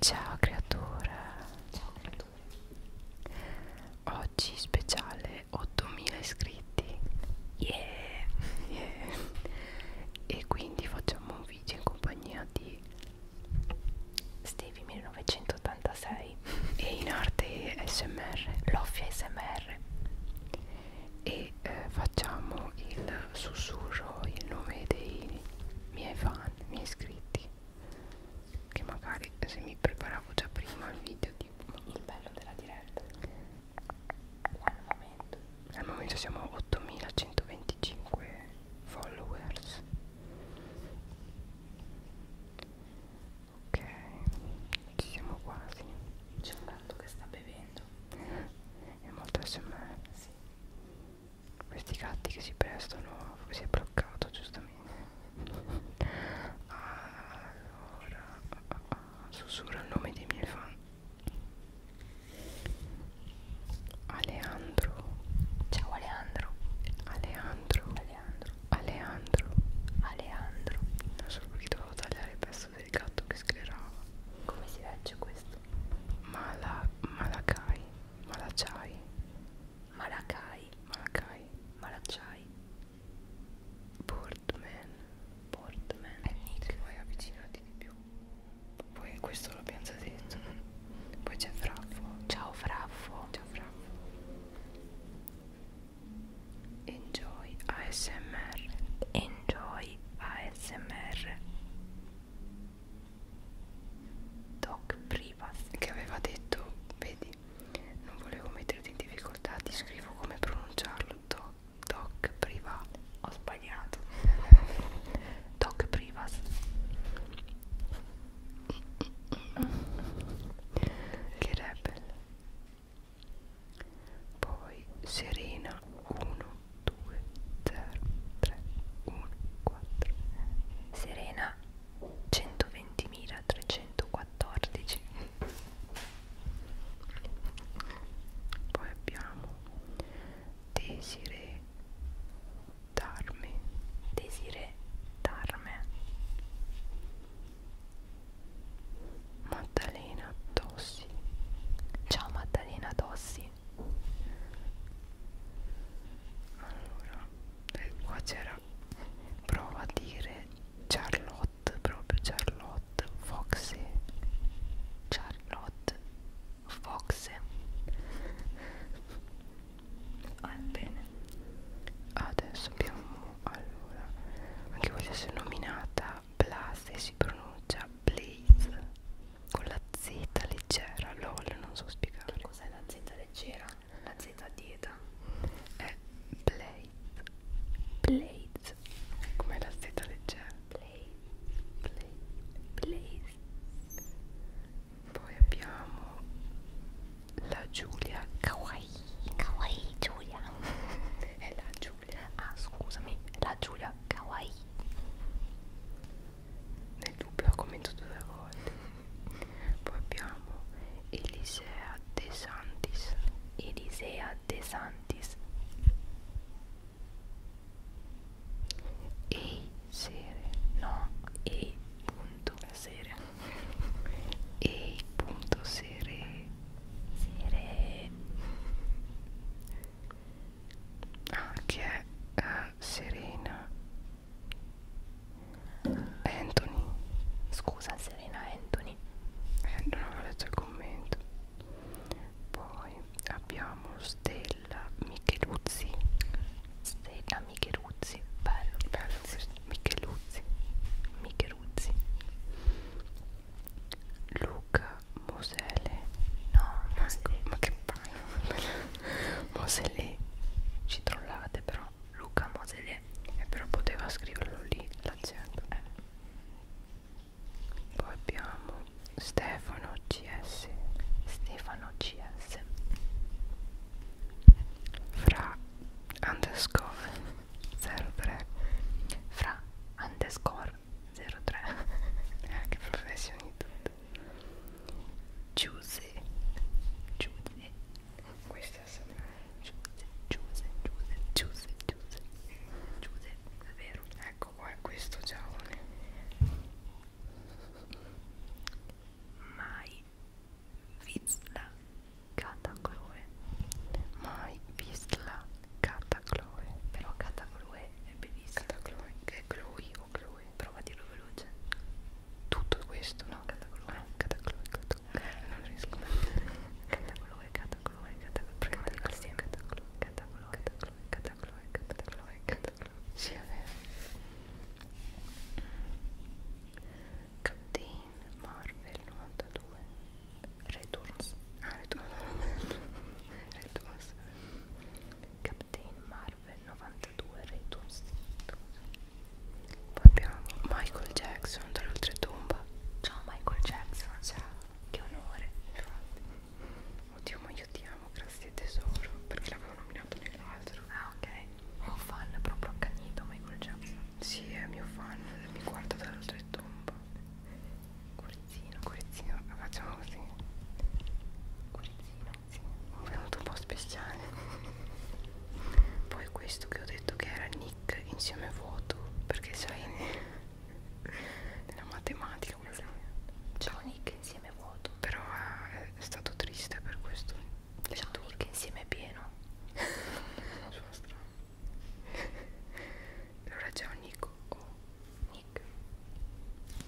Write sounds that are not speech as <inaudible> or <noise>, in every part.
Ciao creatura. Ciao creatura. Oggi speciale 8000 iscritti. Yeah. yeah. E quindi facciamo un video in compagnia di Stevie 1986 e in arte SMR, Loffia SMR. E eh, facciamo il sussurro, il nome dei miei fan, miei iscritti che magari se mi preparavo già prima il video tipo il bello della diretta al momento al momento siamo a 8125 followers ok ci siamo quasi c'è un gatto che sta bevendo è molto smr sì questi gatti che si prestano si è bloccato giustamente allora sussurro il nome dei miei fan Aleandro ciao Aleandro Aleandro Aleandro Aleandro Aleandro non so perché dovevo tagliare il pezzo del gatto che sclerava come si legge questo Mala Malakai Malachai Malakai Malakai Malachai Boardman Boardman è Nick poi avvicinati di più poi questo l'abbiamo già detto poi c'è Fraffo ciao Fraffo ciao Fraffo Enjoy ASMR Enjoy ASMR Doc Privas che aveva detto vedi non volevo metterti in difficoltà ti scrivo come pronunciarlo Doc, doc Privas ho sbagliato <laughs> Doc Privas che rebel poi Serena 1 2 0 3 1 4 Serena 120.314 poi abbiamo Desire Darme Desire Darme Maddalena Tossi Ciao Maddalena Tossi allora eh, qua c'era prova a dire Charlotte proprio Charlotte Foxy Charlotte Foxy ah, bene adesso abbiamo allora anche quella si è nominata Blase si pronuncia Blaze con la Z leggera, lol, non so spiegare. Cos'è la Z leggera? La Z dieta è Blade. Blade. Come la Z leggera? Blade. Blade. Poi abbiamo la Giulia Kawaii. Kawaii Giulia. <laughs> è la Giulia. Ah, scusami, la Giulia Kawaii nel dubbio la commento due volte poi abbiamo Elisea De Santis Elisea De Santis Ehi sere no Ehi punto sere Ehi punto sere sere ah che è uh, eh, Serena Anthony scusa Serena Anthony eh, non avevo letto il commento poi abbiamo Stella Micheluzzi Stella Micheluzzi bello, bello questo Micheluzzi Micheluzzi Luca Mosele no, ah, ma, ma che paio Mosele ci trollate però Luca Mosele e però poteva scriverlo lì l'accento eh. poi abbiamo Stefano CS Stefano CS fra underscore 03 fra underscore 03 <laughs> eh, che professionista Giuse Giuse Questa sembra Giuse Giuse Giuse Giuse Giuse Giuse è vero Ecco qua è questo giovane Mai vista Catacloe Mai vista Catacloe Però Catacloe è bellissimo Catacloe che è Chloe con Chloe, prova a dirlo veloce tutto questo, no? Cata Chloe, eh, ah, Cata Chloe, Cata Chloe, non riesco a Cata Chloe, Cata Chloe, Cata Chloe, Cata Chloe, Cata Chloe, Cata Chloe, Cata Chloe, Cata Chloe, Cata Chloe, sì è vero Captain Marvel 92 Returns, ah Returns, <laughs> Returns Captain Marvel Marvel 92 Returns poi abbiamo Michael Jackson dall'oltretomba ciao Michael Jackson ciao che onore infatti oddio ma io ti amo grazie tesoro perché l'avevo nominato nell'altro ah ok è un fan proprio accanito Michael Jackson si sì, è mio fan mi guarda dall'oltretomba cuorizzino cuorizzino facciamo così cuorizzino sì, un venuto un po' speciale poi questo che ho detto che era Nick insieme vuoto perché sai nella matematica sì. ciao Nick insieme vuoto però è, eh, è stato triste per questo ciao Nick insieme pieno sono <laughs> strano allora ciao Nick o oh. Nick Nick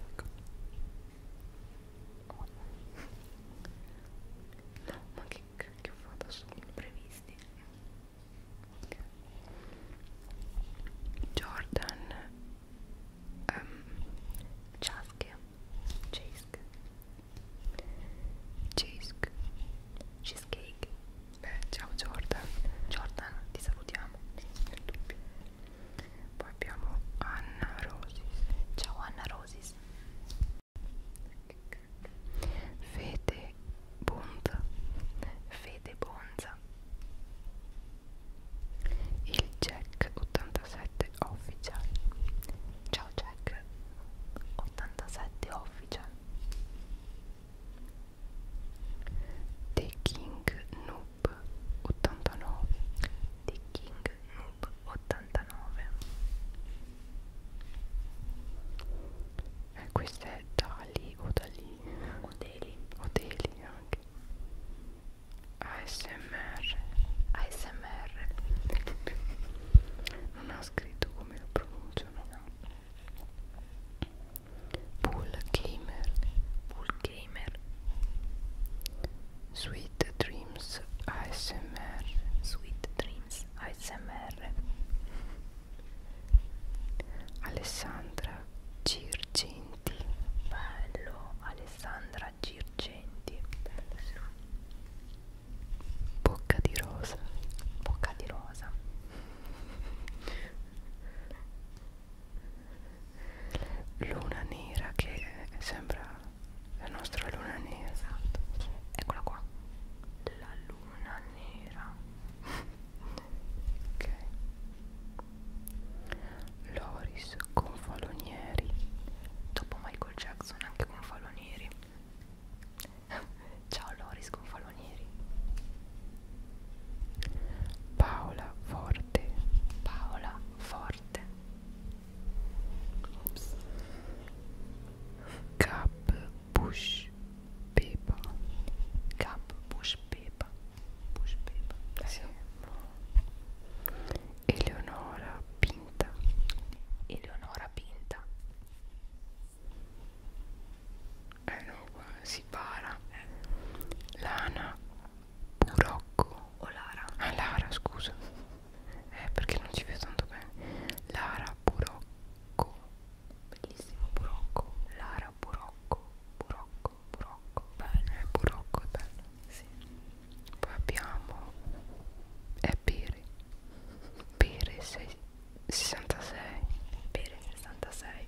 ecco. Oh no, ma che cacchio ho fatto? Sono imprevisti. Jordan um, Chaske Chask Chask Cheesecake Beh, ciao Jordan Jordan ti salutiamo nel dubbio poi abbiamo Anna Rosis ciao Anna Rosis Fede Bonza Fede Bonza il Jack 87 Official ciao Jack 87 Official The King Noob 89 The King Noob 89 eh, questa è Dali o Dali o Deli o Deli anche ASMR ASMR non ha scritto come lo pronunciano Bull Gamer Bull Gamer Sweet Dreams ASMR Sweet Dreams ASMR Alessandra Girgenti Bello Alessandra Girgenti Bellissimo Bocca di rosa Bocca di rosa Luna nera che sembra la nostra luna nera esatto eccola qua la luna nera ok Loris Confalonieri dopo Michael Jackson anche Confalonieri ciao Loris Confalonieri Paola Forte Paola Forte Cap Bush Pepa Cap Bush Pepa Bush Pepa sì. Eleonora Pinta Eleonora Pinta eh no qua si para eh. Lana Burocco o Lara? Ah Lara scusa eh, perché non ci vedo tanto bene Lara Burocco bellissimo Burocco Lara Burocco Burocco Burocco bello eh, Burocco è bello sì. poi abbiamo è Pere Pere 6, 66 Pere 66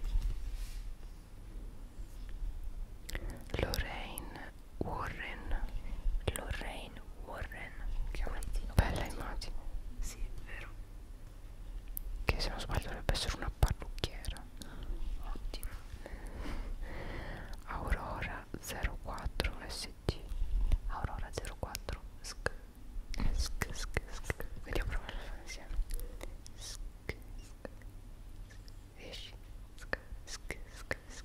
Lorraine Warren Lorraine Warren che è una bella immagine sì è vero che se non sbaglio dovrebbe essere una parrucchiera ottimo Aurora 04 SG Aurora 04 SC SC SC SC vediamo provare a fare insieme SC SC esci SC SC SC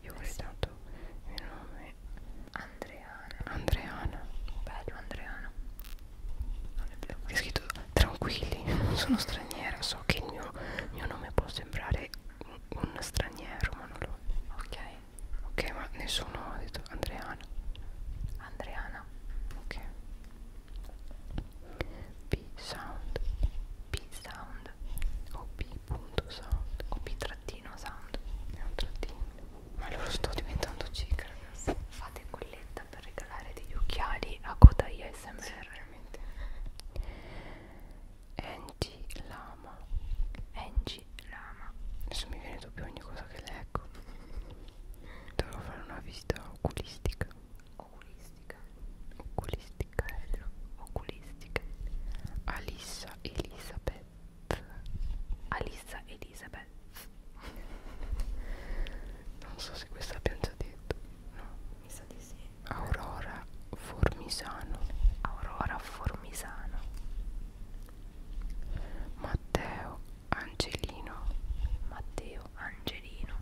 io ho eh dato il nome Andreana Andreana bello Andreana è scritto tranquilli non sono straniera so che il mio, mio nome può sembrare un, un straniero ma non lo è ok ok ma nessuno ha detto Andreana Andreana ok B sound B sound sound op.sound op-sound è un trattino ma allora sto diventando cieca ragazzi fate colletta per regalare degli occhiali a coda ASMR sì, veramente Angie Lama Angie Lama adesso mi viene dubbio ogni cosa che leggo devo fare una visita oculistica oculistica oculistica Riccarello, oculistica Alissa Elisabeth Alissa Elisabeth <laughs> non so se questa abbiamo già detto no? mi sa di sì Aurora Formisano Aurora Formisano Matteo Angelino Matteo Angelino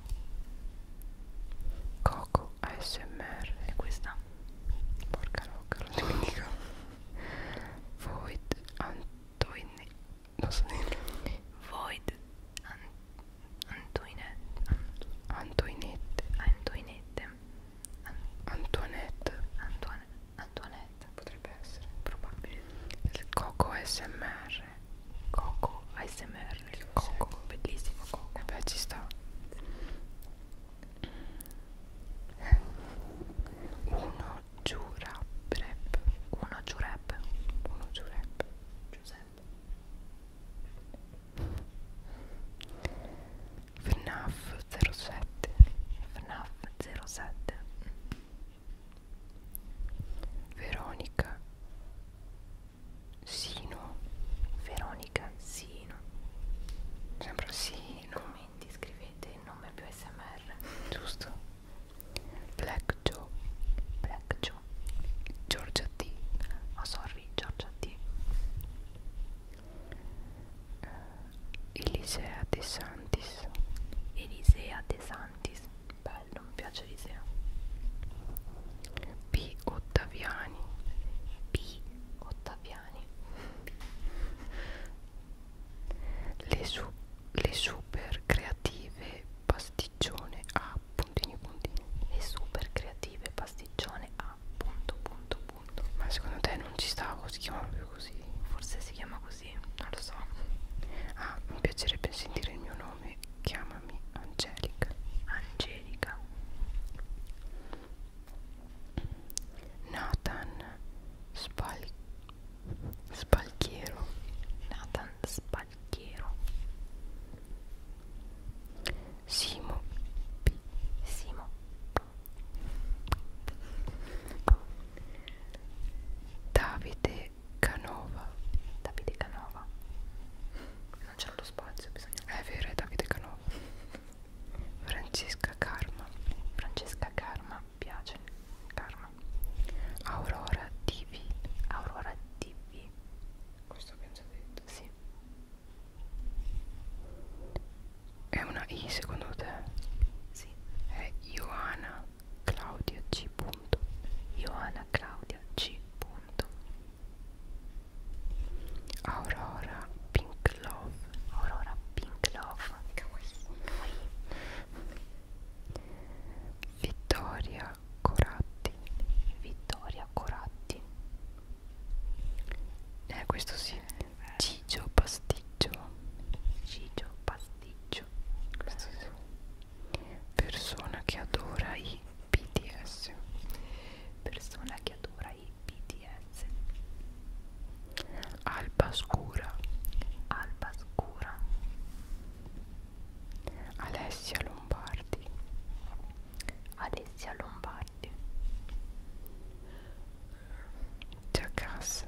Coco ASMR e questa porca rocca, non dimentico Void Antoine non so Void An Antoinette Antoinette potrebbe essere probabile Coco SMR Coco ASMR Coco bellissimo Coco beh ci sta uno giura prep uno giurep uno giurep Giuseppe FNAF 07 FNAF 07 Veronica Sino Veronica Sino Rossino sempre Rossino commenti scrivete il nome più smr giusto Black Joe Black Joe Giorgia T oh sorry Giorgia T uh, Elisea De Santis Elisea De Santis bello mi piace Elisea P. Ottaviani P. Ottaviani italiani le, su le super creative pasticcione a puntini puntini le super creative pasticcione a punto punto punto ma secondo te non ci stavo si chiama più così forse si chiama così non lo so ah mi piacerebbe sentire il mio nome chiamami Angelica Angelica Nathan Spal Spalchiero Nathan Spalchiero Simo P Simo Davide Canova Davide Canova non c'è lo spazio bisogna è vero è Davide Canova Francesca Karma Francesca Karma piace Karma Aurora TV Aurora TV questo abbiamo già detto sì è una I secondo te? sì è Ioana Claudia C. Ioana Claudia C. Aurora Pink Love Aurora Pink Love kawaii. Vittoria Coratti Vittoria Coratti eh questo sì eh, Cigio Pasticcio Cigio Pasticcio questo sì. persona che adora i BTS persona che adora dai BTS Alba Scura Alba Scura Alessia Lombardi Alessia Lombardi Jackass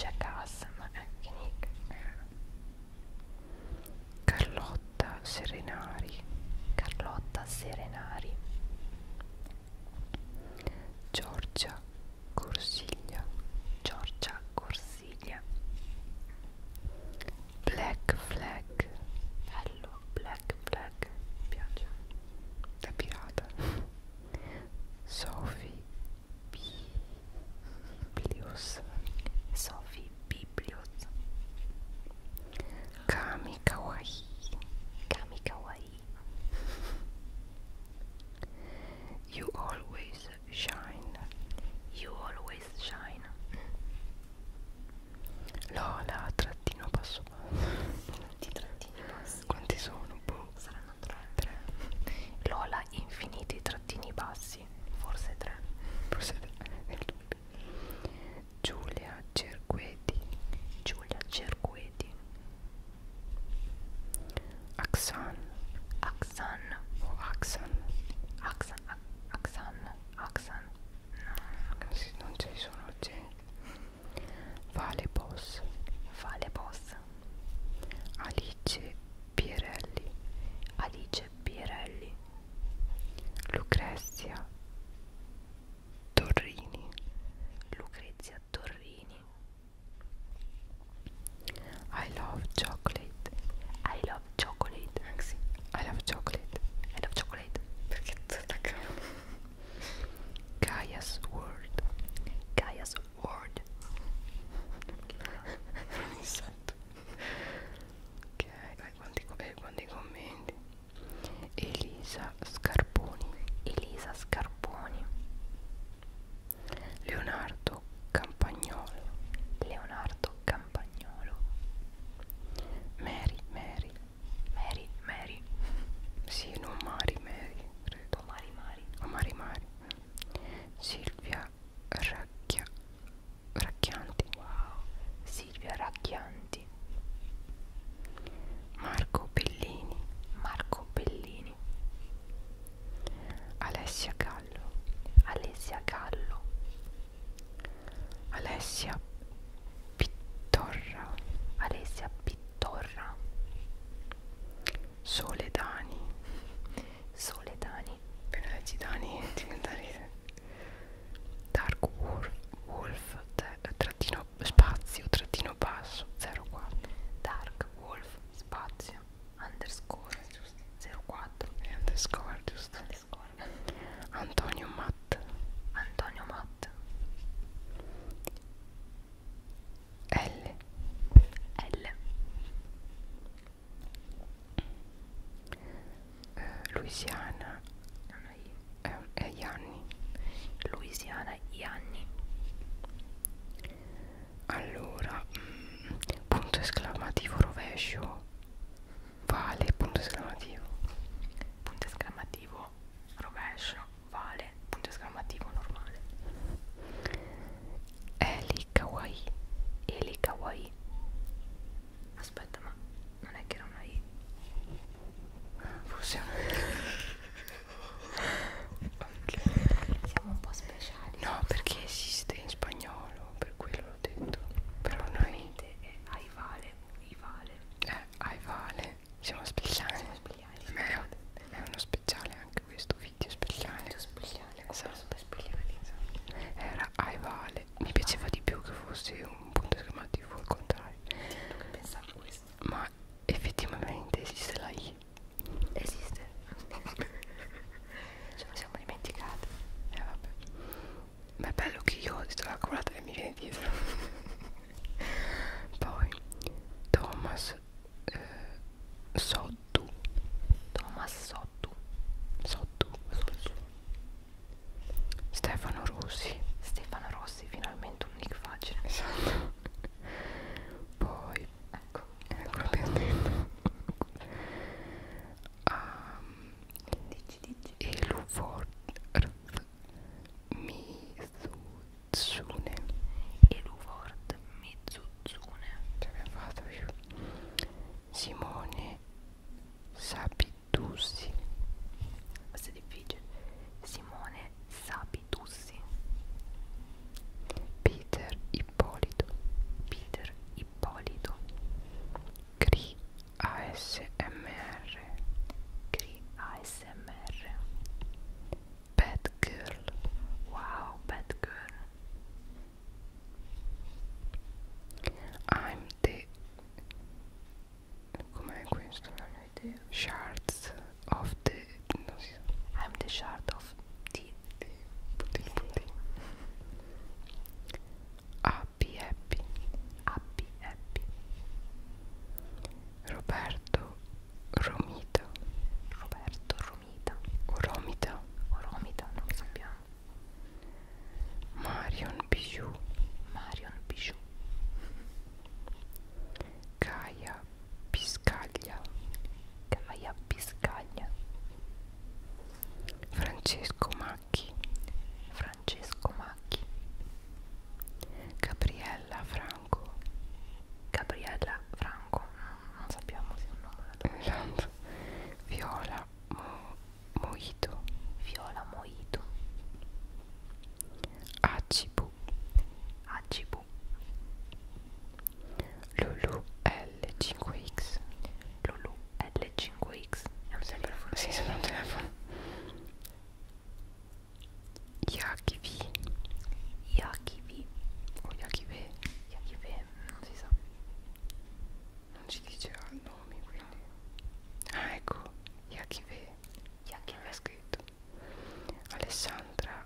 Jackass ma è che nick Carlotta Serenari Carlotta Serenari Giorgia Corsiglia Giorgia Corsiglia Black Flag bello Black Flag mi piace da pirata Sophie Biblius Sophie Biblius Kami Kawaii Kami Kawaii You always shine. You always shine. Lola, trattino basso. Quanti trattini bassi? Quanti sono? Boh. Saranno tre. tre. Lola, infiniti trattini bassi. Forse tre. Forse tre. Giulia, Cerqueti, Giulia Cerqueti, Aksan, Aksan o Aksan, Aksan, Aksan, Aksan, no, non ci sono gente, Vale Boss, Vale Boss, Alice Pierelli, Alice Pierelli, Lucrezia Torrini, Lucrezia a Torrini I love chocolate I love chocolate Maxi I love chocolate I love chocolate Perché tutta Gaia's World Gaia's World Non mi sento Ok, vai, guardi i commenti Elisa Scarponi, Elisa Scarponi, Leonardo Campagnolo, Leonardo Campagnolo, Mary, Mary, Mary, Mary, sì, non Mari, Mary, credo, Mari, Mari, o Mari, Mari, Silvia Racchia, Racchianti, wow, Silvia Racchianti, Marco Bellini, Marco Bellini, Alessia Gallo, Alessia Gallo, Alessia Pittorra, Alessia Pittorra, Soledani, Soledani, per leggi Dani <laughs> diventare Dark Wolf, Wolf trattino spazio trattino basso 04 Dark Wolf spazio underscore giusto 04 e underscore giusto underscore. Antonio Matt Antonio Matt L L eh, Louisiana non è io. Eh, eh, Ianni Louisiana Ianni allora mh, mm, punto esclamativo rovescio vale punto esclamativo punto esclamativo rovescio vale punto esclamativo normale Eli Kawaii Eli Kawaii aspetta ma non è che era una I forse okay. Siamo un po' speciali. No, perché esiste in spagnolo, per quello l'ho detto. Però noi è ai vale, i vale. Eh, ai vale. Siamo speciali. Siamo speciali. È, è uno speciale anche questo video speciale. Video speciale, so. super speciale. So. Esatto. Era ai vale. Mi piaceva di più che fosse un punto esclamativo al contrario. Sì, non che pensavo questo. Ma ma effettivamente esiste la I? Esiste <laughs> Ce la siamo dimenticate Eh vabbè Ma è bello che io ho detto la colata e mi viene dietro <laughs> Poi Thomas eh, Sottu Thomas Sottu Sottu Sottu Stefano Rossi Stefano Rossi finalmente un nick facile Esatto poi ecco ecco più um, dici dici e l'uforth mizutsune e l'uforth mizutsune ce l'abbiamo fatta io Simone Sapitussi questo è difficile Simone Sapitussi Peter Ippolito Peter Ippolito CRI ASMR CRI ASMR Bad Girl Wow Bad Girl I'm the Com'è questo? Non ho idea Shards of the non si sa. I'm the shard of the, the putin, putin. Happy happy happy happy Roberto Romita Roberto Romita o Romita o Romita non lo sappiamo Marion Bijou Marion Bijou Gaia Piscaglia Gaia Piscaglia Francesco Macchi Francesco Macchi Gabriella Franco Gabriella Franco non sappiamo se è un nome esatto. Viola Mo Moito Viola Moito Acibu Acibu bambù Lulu L5X Lulu L5X è un telefono sì, sembra un telefono Yaki V Yaki V o Yaki V Yaki V non si sa non ci diceva il nome quindi ah ecco Yaki V Yaki V è scritto Alessandra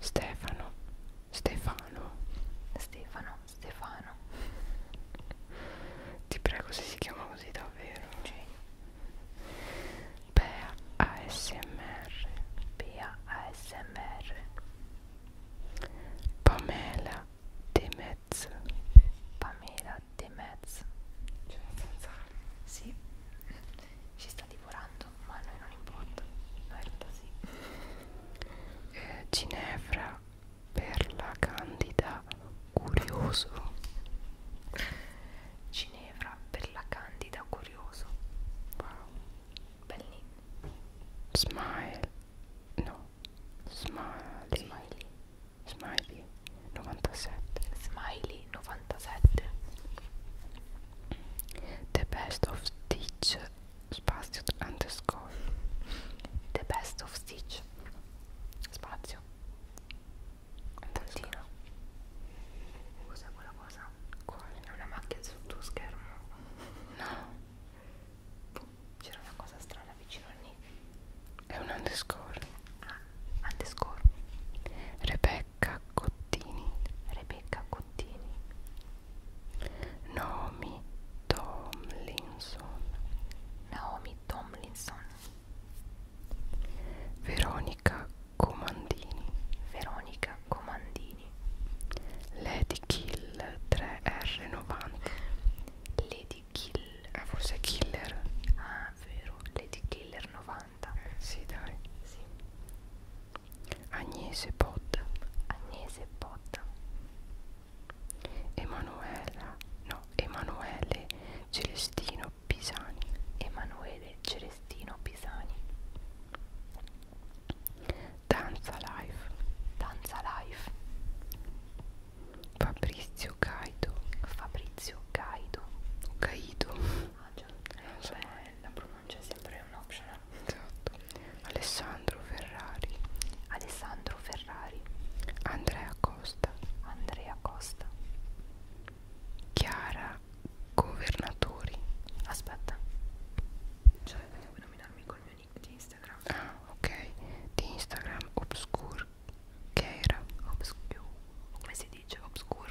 Stefano Stefano Stefano Stefano Ti prego se si chiama così davvero sì. Bea ASMR Bea ASMR Pamela De Metz Pamela De Mezzo Cioè senza Sì ci sta divorando, ma a noi non importa. No, in realtà sì. Eh, Ginevra per la candida curioso. Ginevra per la candida curioso. Wow. Bellini. Smile. No. Smiley. Smiley. Smiley 97. Smiley 97. The Best of Stitch spazio underscore The Best of Stitch spazio Tantino Cos'è quella cosa? Quale? È una macchia sul tuo schermo? No boh, C'era una cosa strana vicino a lì È un underscore Ah, underscore Rebecca Cottini Rebecca Cottini continui Naomi Tomlinson Naomi Tomlinson Veronica Comandini Veronica Comandini Lady Kill 3R90 Lady Kill ah, forse Killer ah vero Lady Killer 90 eh, sì dai sì Agnese Pot, Agnese Pot, Emanuela, no, Emanuele Celestino Pisani, Emanuele Celestino Pisani, Danza Life, Danza Life, Fabrizio Caido, Fabrizio Caido, Caido, ah, già, eh, cioè, la non c'è sempre un optional esatto Alessandro Ferrari Alessandro Ferrari Andrea Costa Andrea Costa Chiara Governatori aspetta cioè devo nominarmi col mio nick di Instagram ah ok di Instagram Obscure Chiara Obscure come si dice Obscure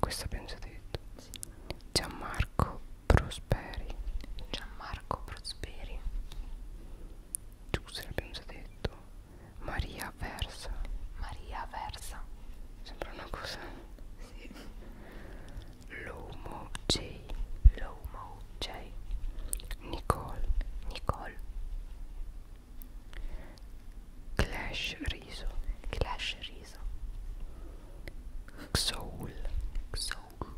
Questa abbiamo già detto. Sì. Gianmarco Prosperi. Gianmarco Prosperi. Giuse l'abbiamo già detto. Maria Versa. Maria Versa. Sembra una cosa. Sì. Lomo J. Lomo J. Nicole. Nicole. Clash Riso. Clash Riso sorpresa Xoul Xoul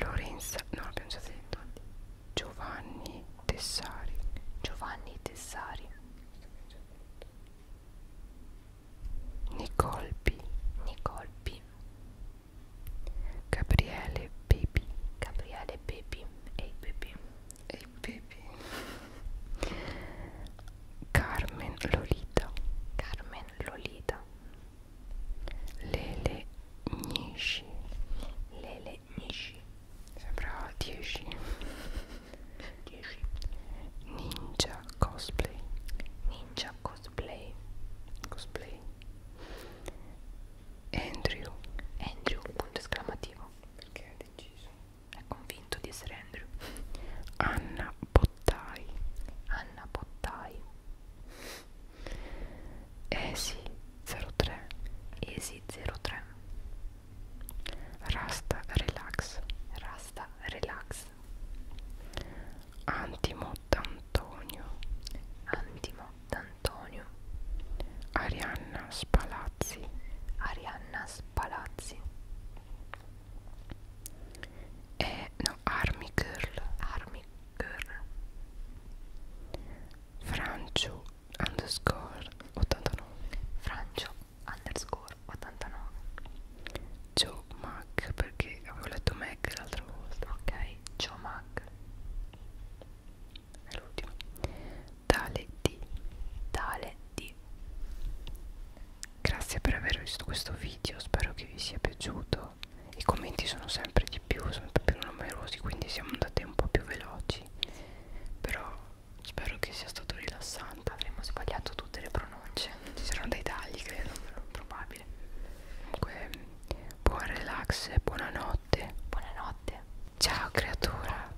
Lorenza no l'abbiamo già detto Giovanni Tessari Giovanni Tessari Nicole B Nicole B Gabriele Baby Gabriele Baby e hey Baby e Pepe Carmen Lolita Carmen Lolita Lele Nishi Lele Nishi Sembra 10 10 Ninja Cosplay Ninja Cosplay Cosplay Andrew Andrew punto esclamativo perché è deciso è convinto di essere Andrew Anna Bottai Anna Bottai Esi 03 Esi 03 Rasta Relax Rasta Relax Antimo D'Antonio Antimo D'Antonio Arianna Spalazzi Arianna palazzi e eh, no Army Girl Army Girl Francio underscore 89 Francio underscore 89 Joe Mac perché avevo letto Mac l'altra volta ok Joe Mac è l'ultimo tale di tale di grazie per aver visto questo video spero che vi sia piaciuto i commenti sono sempre di più sempre più numerosi quindi siamo andati un po' più veloci però spero che sia stato rilassante avremmo sbagliato tutte le pronunce ci saranno dei tagli credo però probabile comunque buon relax buonanotte buonanotte ciao creatura